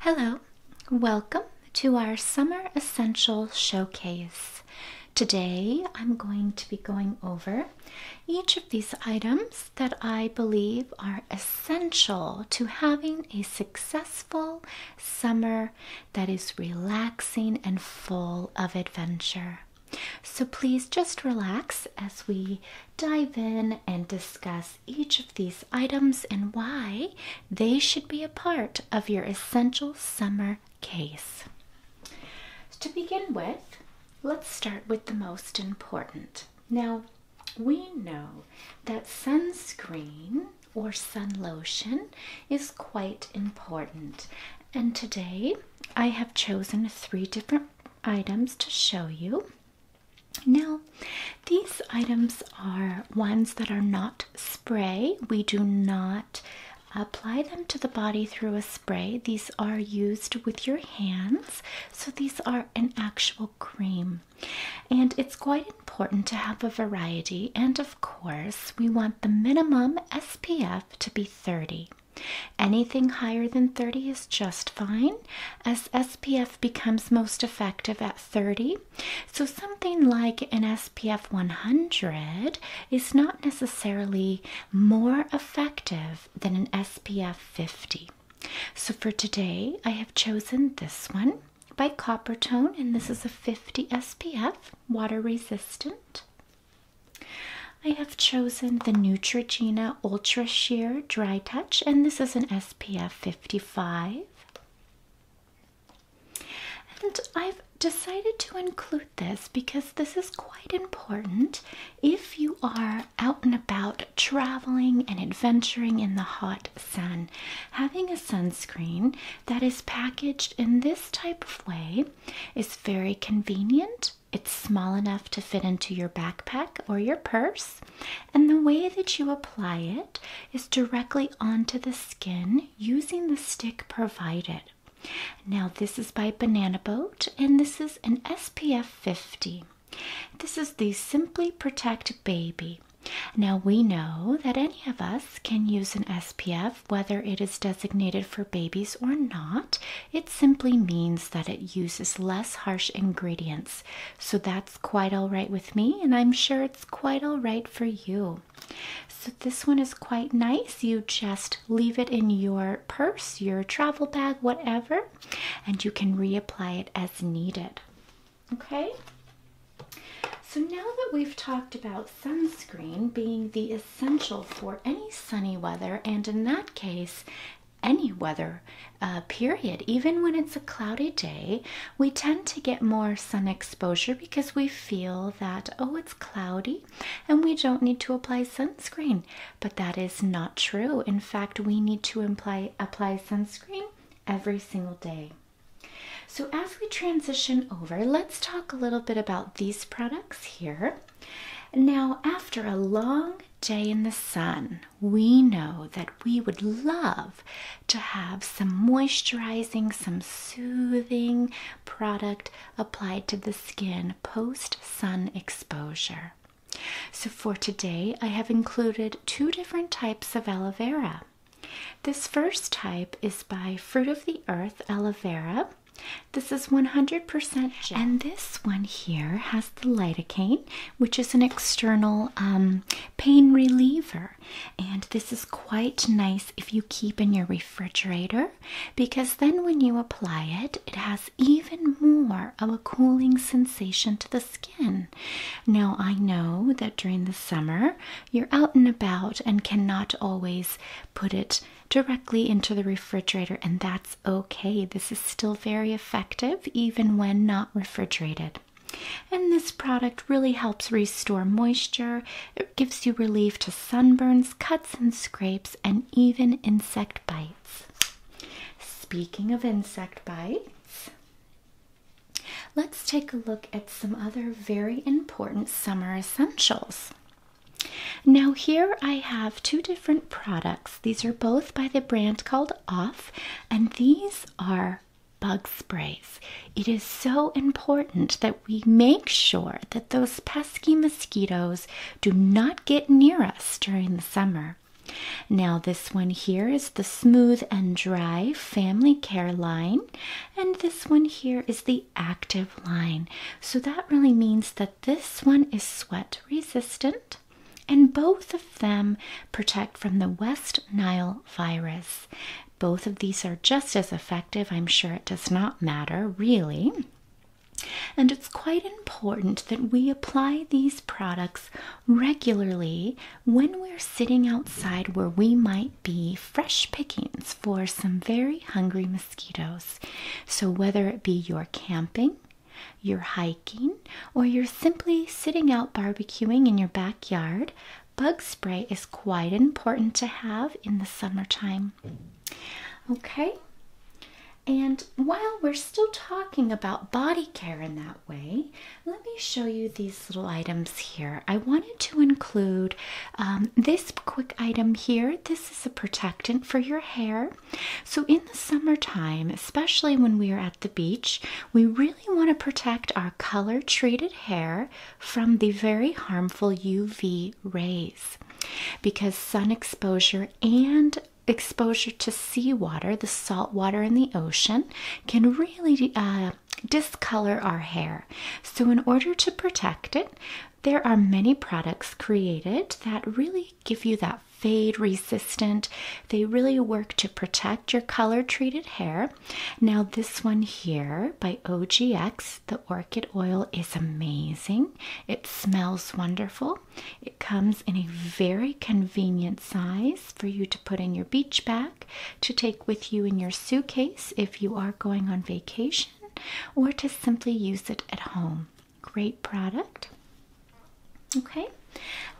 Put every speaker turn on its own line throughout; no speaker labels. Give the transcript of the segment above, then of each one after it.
Hello, welcome to our Summer Essential Showcase. Today I'm going to be going over each of these items that I believe are essential to having a successful summer that is relaxing and full of adventure. So please just relax as we dive in and discuss each of these items and why they should be a part of your essential summer case. to begin with, let's start with the most important. Now, we know that sunscreen or sun lotion is quite important, and today I have chosen three different items to show you. Now, these items are ones that are not spray. We do not apply them to the body through a spray. These are used with your hands. So these are an actual cream. And it's quite important to have a variety. And of course, we want the minimum SPF to be 30. Anything higher than 30 is just fine as SPF becomes most effective at 30. So something like an SPF 100 is not necessarily more effective than an SPF 50. So for today, I have chosen this one by Coppertone, and this is a 50 SPF, water resistant. I have chosen the Neutrogena Ultra Sheer Dry Touch, and this is an SPF 55. And I've decided to include this because this is quite important if you are out and about traveling and adventuring in the hot sun. Having a sunscreen that is packaged in this type of way is very convenient. It's small enough to fit into your backpack or your purse, and the way that you apply it is directly onto the skin using the stick provided. Now, this is by Banana Boat and this is an SPF 50. This is the Simply Protect Baby. Now, we know that any of us can use an SPF whether it is designated for babies or not. It simply means that it uses less harsh ingredients so that's quite all right with me, and I'm sure it's quite all right for you. So this one is quite nice. You just leave it in your purse, your travel bag, whatever, and you can reapply it as needed. Okay? So now that we've talked about sunscreen being the essential for any sunny weather, and in that case, any weather uh, period. Even when it's a cloudy day, we tend to get more sun exposure because we feel that, oh, it's cloudy and we don't need to apply sunscreen. But that is not true. In fact, we need to imply, apply sunscreen every single day. So, as we transition over, let's talk a little bit about these products here. Now, after a long day in the sun, we know that we would love to have some moisturizing, some soothing product applied to the skin post sun exposure. So, for today, I have included two different types of aloe vera. This first type is by Fruit of the Earth Aloe Vera. This is 100% And this one here has the lidocaine which is an external um, pain reliever. And this is quite nice if you keep in your refrigerator because then when you apply it, it has even more of a cooling sensation to the skin. Now, I know that during the summer you're out and about and cannot always put it directly into the refrigerator, and that's okay. This is still very effective even when not refrigerated. And this product really helps restore moisture. It gives you relief to sunburns, cuts and scrapes, and even insect bites. Speaking of insect bites, let's take a look at some other very important summer essentials. Now, here I have two different products these are both by the brand called Off, and these are bug sprays. It is so important that we make sure that those pesky mosquitoes do not get near us during the summer. Now, this one here is the Smooth and Dry Family Care line, and this one here is the Active line. So that really means that this one is sweat resistant, and both of them protect from the West Nile virus. Both of these are just as effective. I'm sure it does not matter, really. And it's quite important that we apply these products regularly when we're sitting outside where we might be fresh pickings for some very hungry mosquitoes. So, whether it be your camping, you're hiking, or you're simply sitting out barbecuing in your backyard, bug spray is quite important to have in the summertime. Okay, and while we're still talking about body care in that way, let me show you these little items here. I wanted to include um, this quick item here. This is a protectant for your hair. So, in the summertime, especially when we are at the beach, we really want to protect our color treated hair from the very harmful UV rays because sun exposure and exposure to seawater, the salt water in the ocean, can really uh, discolor our hair. So, in order to protect it, there are many products created that really give you that fade resistant. They really work to protect your color treated hair. Now, this one here by OGX, the orchid oil is amazing. It smells wonderful. It comes in a very convenient size for you to put in your beach bag, to take with you in your suitcase if you are going on vacation, or to simply use it at home. Great product. Okay,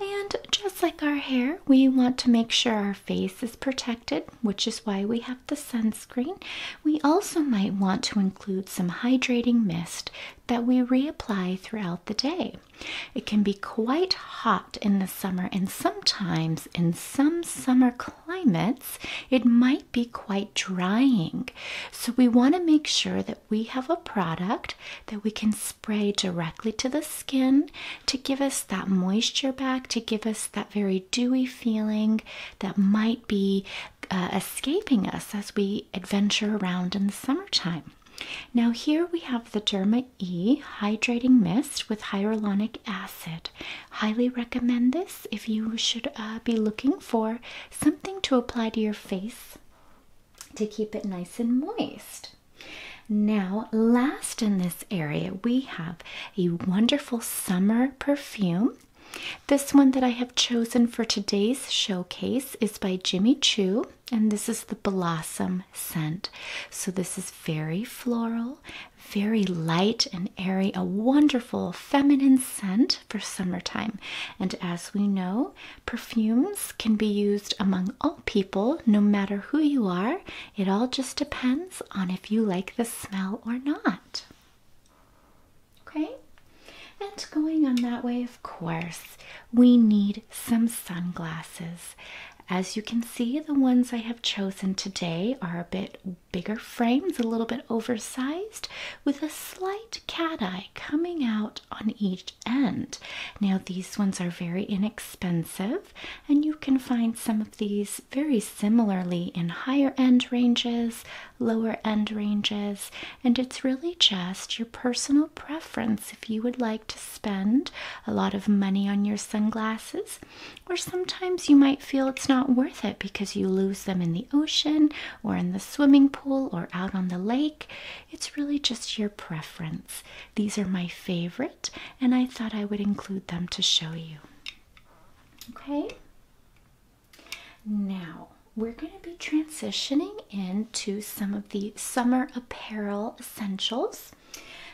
and just like our hair, we want to make sure our face is protected, which is why we have the sunscreen. We also might want to include some hydrating mist that we reapply throughout the day. It can be quite hot in the summer, and sometimes in some summer climates, it might be quite drying. So, we want to make sure that we have a product that we can spray directly to the skin to give us that moisture back, to give us that very dewy feeling that might be uh, escaping us as we adventure around in the summertime. Now, here we have the Derma E Hydrating Mist with Hyaluronic Acid. Highly recommend this if you should uh, be looking for something to apply to your face to keep it nice and moist. Now, last in this area, we have a wonderful summer perfume. This one that I have chosen for today's showcase is by Jimmy Choo, and this is the Blossom scent. So, this is very floral, very light and airy, a wonderful feminine scent for summertime. And as we know, perfumes can be used among all people, no matter who you are. It all just depends on if you like the smell or not. Okay? And going on that way, of course, we need some sunglasses. As you can see, the ones I have chosen today are a bit bigger frames, a little bit oversized, with a slight cat-eye coming out on each end. Now, these ones are very inexpensive, and you can find some of these very similarly in higher end ranges, lower end ranges, and it's really just your personal preference if you would like to spend a lot of money on your sunglasses, or sometimes you might feel it's not worth it because you lose them in the ocean or in the swimming pool or out on the lake. It's really just your preference. These are my favorite, and I thought I would include them to show you. Okay, now we're going to be transitioning into some of the summer apparel essentials.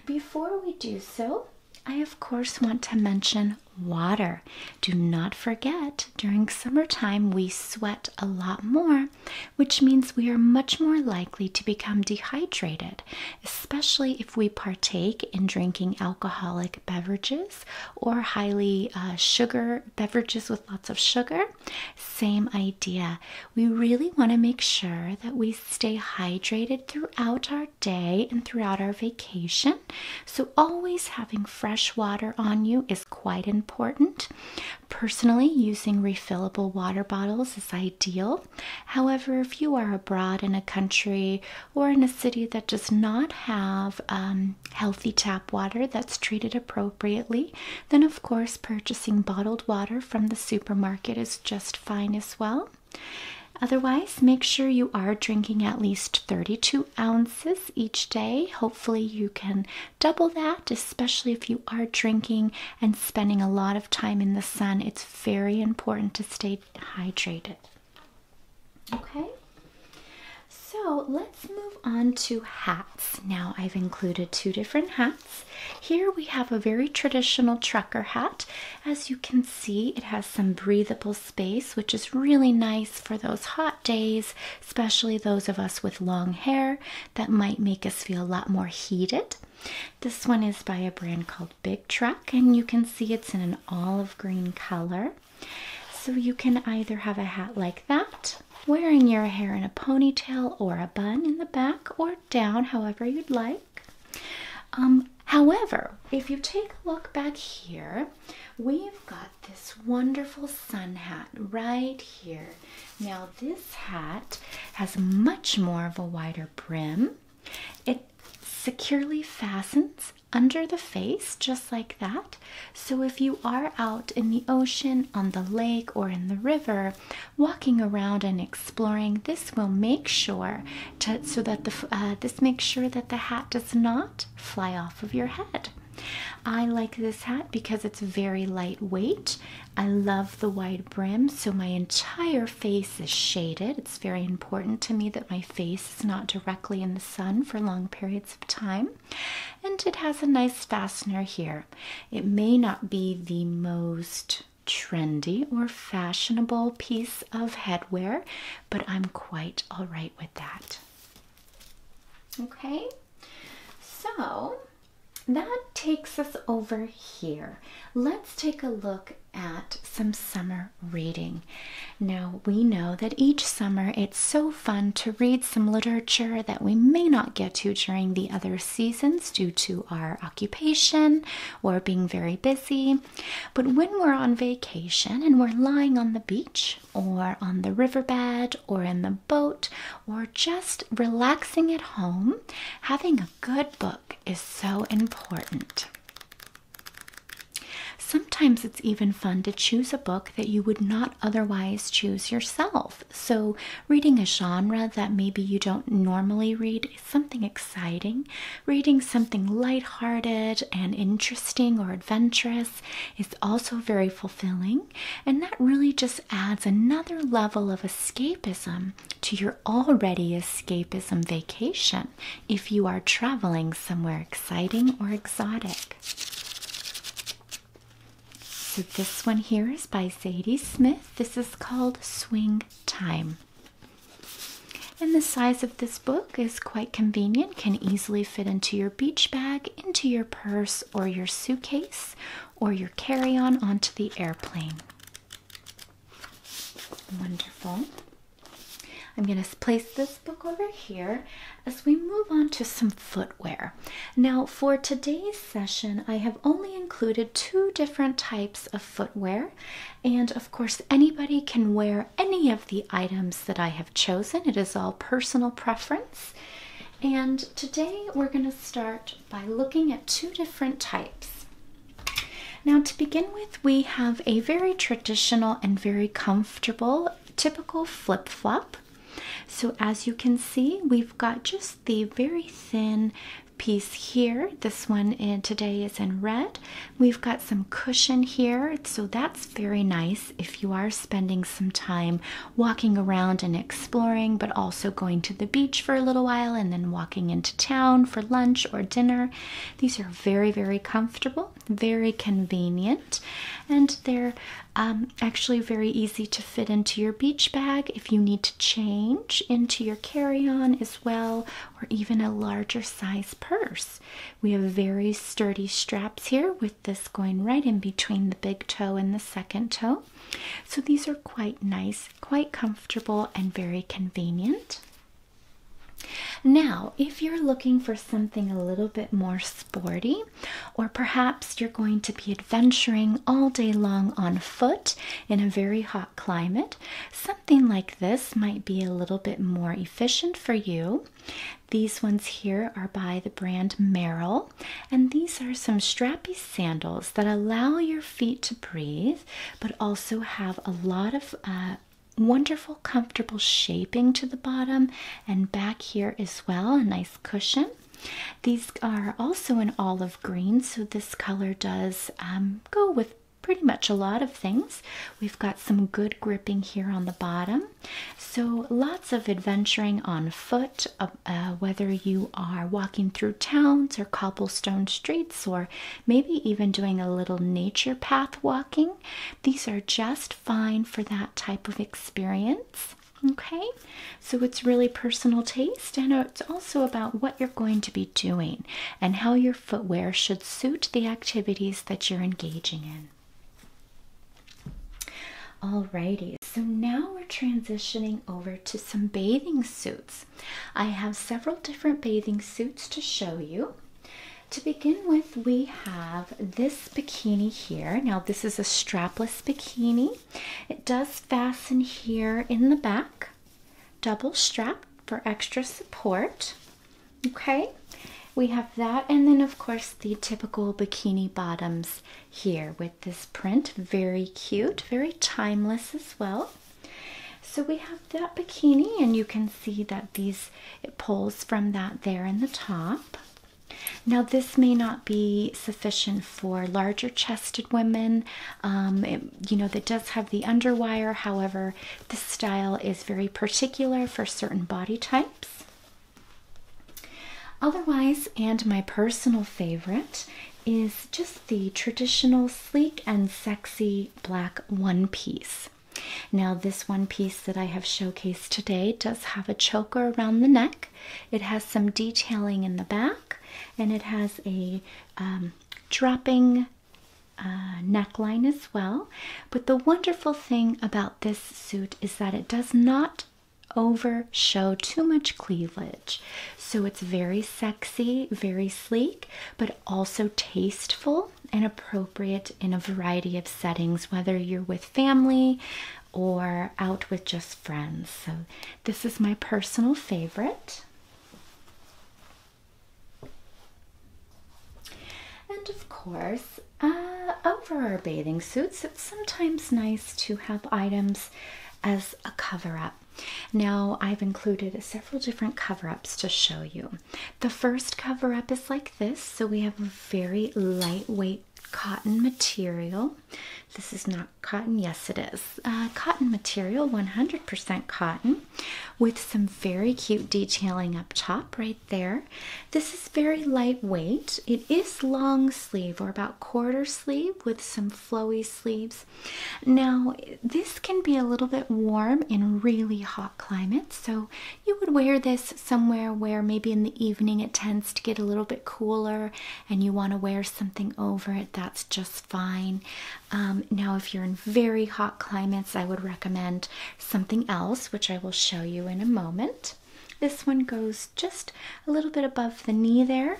Before we do so, I of course want to mention water. Do not forget, during summertime, we sweat a lot more, which means we are much more likely to become dehydrated, especially if we partake in drinking alcoholic beverages or highly uh, sugar beverages with lots of sugar. Same idea. We really want to make sure that we stay hydrated throughout our day and throughout our vacation. So so, always having fresh water on you is quite important. Personally, using refillable water bottles is ideal. However, if you are abroad in a country or in a city that does not have um, healthy tap water that's treated appropriately, then of course purchasing bottled water from the supermarket is just fine as well. Otherwise, make sure you are drinking at least 32 ounces each day. Hopefully, you can double that, especially if you are drinking and spending a lot of time in the sun. It's very important to stay hydrated. Okay, so let's move on to hats. Now, I've included two different hats. Here we have a very traditional trucker hat. As you can see, it has some breathable space, which is really nice for those hot days, especially those of us with long hair that might make us feel a lot more heated. This one is by a brand called Big Truck, and you can see it's in an olive green color. So you can either have a hat like that, wearing your hair in a ponytail or a bun in the back or down, however you'd like. Um, however, if you take a look back here, we've got this wonderful sun hat right here. Now, this hat has much more of a wider brim. It securely fastens under the face, just like that. So, if you are out in the ocean, on the lake, or in the river, walking around and exploring, this will make sure so that uh, this makes sure that the hat does not fly off of your head. I like this hat because it's very lightweight. I love the wide brim, so my entire face is shaded. It's very important to me that my face is not directly in the sun for long periods of time. And it has a nice fastener here. It may not be the most trendy or fashionable piece of headwear but I'm quite all right with that. Okay, so that takes us over here. Let's take a look at some summer reading. Now, we know that each summer it's so fun to read some literature that we may not get to during the other seasons due to our occupation or being very busy. But when we're on vacation and we're lying on the beach or on the riverbed or in the boat or just relaxing at home, having a good book is so important. Sometimes it's even fun to choose a book that you would not otherwise choose yourself. So, reading a genre that maybe you don't normally read something exciting. Reading something light-hearted and interesting or adventurous. is also very fulfilling, and that really just adds another level of escapism to your already escapism vacation if you are traveling somewhere exciting or exotic. So, this one here is by Zadie Smith. This is called Swing Time. And the size of this book is quite convenient, can easily fit into your beach bag, into your purse, or your suitcase, or your carry on onto the airplane. Wonderful. I'm going to place this book over here as we move on to some footwear. Now, for today's session, I have only included two different types of footwear and of course, anybody can wear any of the items that I have chosen. It is all personal preference. And today we're going to start by looking at two different types. Now, to begin with, we have a very traditional and very comfortable, typical flip flop. So, as you can see, we've got just the very thin piece here. This one in, eh, today is in red, We've got some cushion here, so that's very nice if you are spending some time walking around and exploring, but also going to the beach for a little while and then walking into town for lunch or dinner. These are very, very comfortable, very convenient, and they're um, actually very easy to fit into your beach bag if you need to change into your carry on as well, or even a larger size purse. We have very sturdy straps here with this going right in between the big toe and the second toe. So these are quite nice, quite comfortable, and very convenient. Now, if you're looking for something a little bit more sporty, or perhaps you're going to be adventuring all day long on foot in a very hot climate, something like this might be a little bit more efficient for you. These ones here are by the brand Merrill, and these are some strappy sandals that allow your feet to breathe but also have a lot of uh, wonderful, comfortable shaping to the bottom and back here as well. A nice cushion. These are also in olive green, so this color does um, go with pretty much a lot of things. We've got some good gripping here on the bottom. So lots of adventuring on foot, uh, uh, whether you are walking through towns or cobblestone streets, or maybe even doing a little nature path walking. These are just fine for that type of experience. Okay, so it's really personal taste and it's also about what you're going to be doing and how your footwear should suit the activities that you're engaging in. Alrighty, so now we're transitioning over to some bathing suits. I have several different bathing suits to show you. To begin with, we have this bikini here. Now, this is a strapless bikini. It does fasten here in the back double strap for extra support. Okay, we have that, and then of course the typical bikini bottoms here with this print. Very cute, very timeless as well. So we have that bikini, and you can see that these it pulls from that there in the top. Now, this may not be sufficient for larger chested women um, you know, that does have the underwire. However, this style is very particular for certain body types. Otherwise, and my personal favorite is just the traditional sleek and sexy black one piece. Now, this one piece that I have showcased today does have a choker around the neck. It has some detailing in the back and it has a um, dropping uh, neckline as well. But the wonderful thing about this suit is that it does not over show too much cleavage. So it's very sexy, very sleek, but also tasteful and appropriate in a variety of settings, whether you're with family or out with just friends. So this is my personal favorite. And of course, uh, over our bathing suits, it's sometimes nice to have items as a cover up. Now, I've included several different cover ups to show you. The first cover up is like this. So, we have a very lightweight cotton material. This is not cotton, yes, it is. Uh, cotton material, 100% cotton with some very cute detailing up top right there. This is very lightweight. It is long sleeve or about quarter sleeve with some flowy sleeves. Now, this can be a little bit warm in really hot climates, so you would wear this somewhere where maybe in the evening it tends to get a little bit cooler and you want to wear something over it, that's just fine. Um, now, if you're in very hot climates, I would recommend something else, which I will show you in a moment. This one goes just a little bit above the knee there.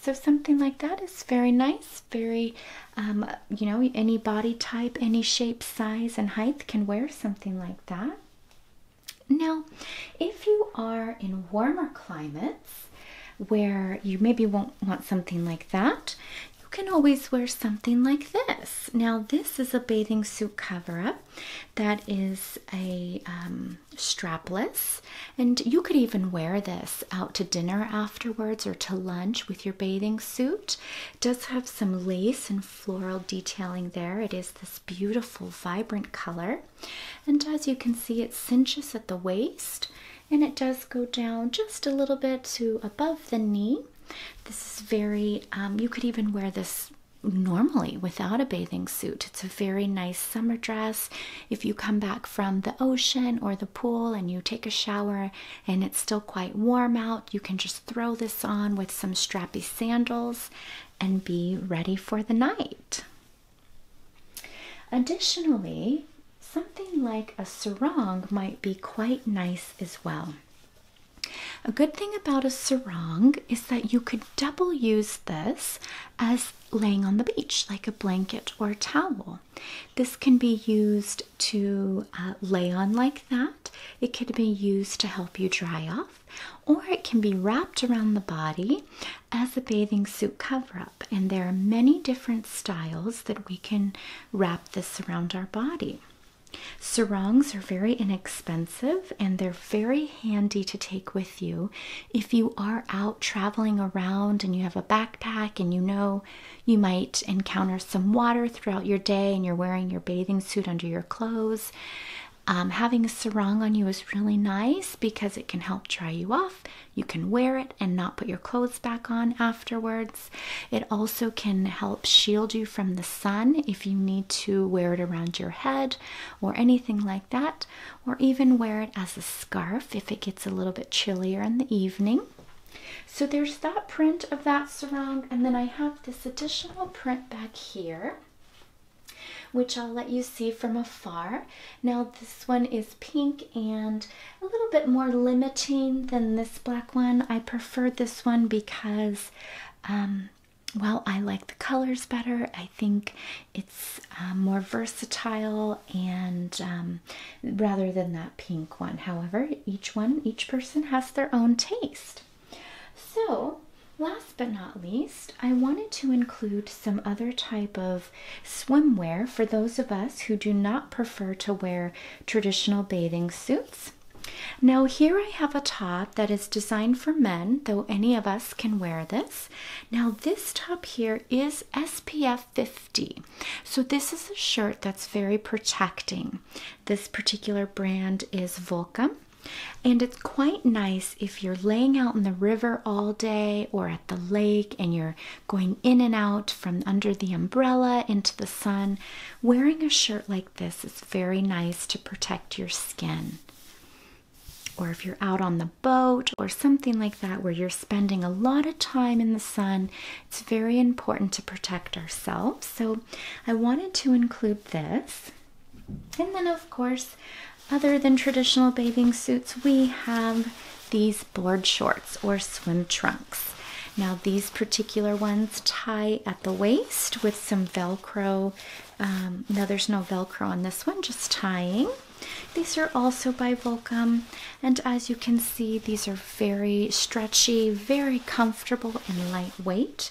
So something like that is very nice, very, um, you know, any body type, any shape, size, and height can wear something like that. Now, if you are in warmer climates where you maybe won't want something like that, you can always wear something like this. Now, this is a bathing suit cover up that is a um, strapless, and you could even wear this out to dinner afterwards or to lunch with your bathing suit. does have some lace and floral detailing there. It is this beautiful, vibrant color, and as you can see, it cinches at the waist and it does go down just a little bit to above the knee. This is very, um, you could even wear this normally without a bathing suit. It's a very nice summer dress. If you come back from the ocean or the pool and you take a shower and it's still quite warm out, you can just throw this on with some strappy sandals and be ready for the night. Additionally, Something like a sarong might be quite nice as well. A good thing about a sarong is that you could double use this as laying on the beach, like a blanket or towel. This can be used to uh, lay on like that, it can be used to help you dry off, or it can be wrapped around the body as a bathing suit cover and there are many different styles that we can wrap this around our body. Sarongs are very inexpensive and they're very handy to take with you if you are out traveling around and you have a backpack and you know you might encounter some water throughout your day and you're wearing your bathing suit under your clothes. Um, having a sarong on you is really nice because it can help dry you off you can wear it and not put your clothes back on afterwards. It also can help shield you from the sun if you need to wear it around your head or anything like that, or even wear it as a scarf if it gets a little bit chillier in the evening. So there's that print of that surround, and then I have this additional print back here. Which I'll let you see from afar. Now, this one is pink and a little bit more limiting than this black one. I prefer this one because, um, well, I like the colors better. I think it's um, more versatile and um, rather than that pink one. However, each one, each person has their own taste. So, last but not least, I wanted to include some other type of swimwear for those of us who do not prefer to wear traditional bathing suits. Now, here I have a top that is designed for men, though any of us can wear this. Now, this top here is SPF 50. So, this is a shirt that's very protecting. This particular brand is Volcom. And it's quite nice if you're laying out in the river all day or at the lake and you're going in and out from under the umbrella into the sun. Wearing a shirt like this is very nice to protect your skin. Or if you're out on the boat or something like that where you're spending a lot of time in the sun, it's very important to protect ourselves. So I wanted to include this. And then, of course, other than traditional bathing suits, we have these board shorts or swim trunks. Now, these particular ones tie at the waist with some Velcro. Um, now, there's no Velcro on this one, just tying. These are also by Volcom, and as you can see, these are very stretchy, very comfortable, and lightweight.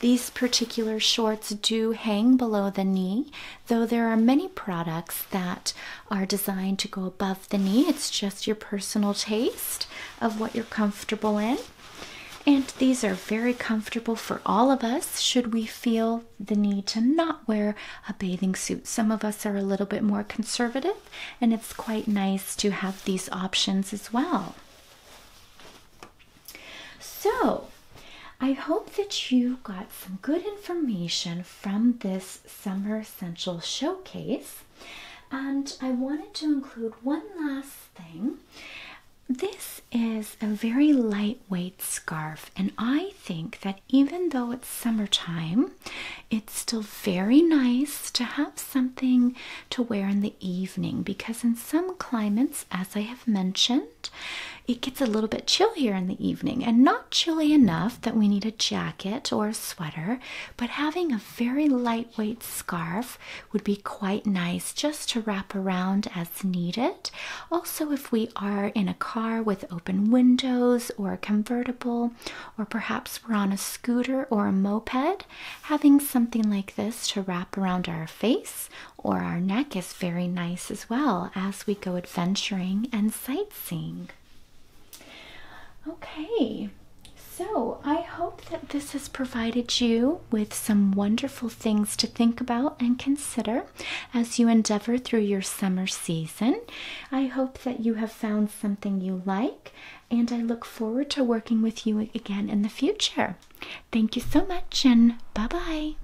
These particular shorts do hang below the knee, though there are many products that are designed to go above the knee. It's just your personal taste of what you're comfortable in. And these are very comfortable for all of us should we feel the need to not wear a bathing suit. Some of us are a little bit more conservative, and it's quite nice to have these options as well. So, I hope that you got some good information from this Summer Essential Showcase. And I wanted to include one last thing. This is a very lightweight scarf, and I think that even though it's summertime, it's still very nice to have something to wear in the evening because, in some climates, as I have mentioned, it gets a little bit chillier in the evening and not chilly enough that we need a jacket or a sweater, but having a very lightweight scarf would be quite nice just to wrap around as needed. Also, if we are in a car with open windows or a convertible, or perhaps we're on a scooter or a moped, having something like this to wrap around our face or our neck is very nice as well as we go adventuring and sightseeing. Okay, so I hope that this has provided you with some wonderful things to think about and consider as you endeavor through your summer season. I hope that you have found something you like, and I look forward to working with you again in the future. Thank you so much, and bye bye.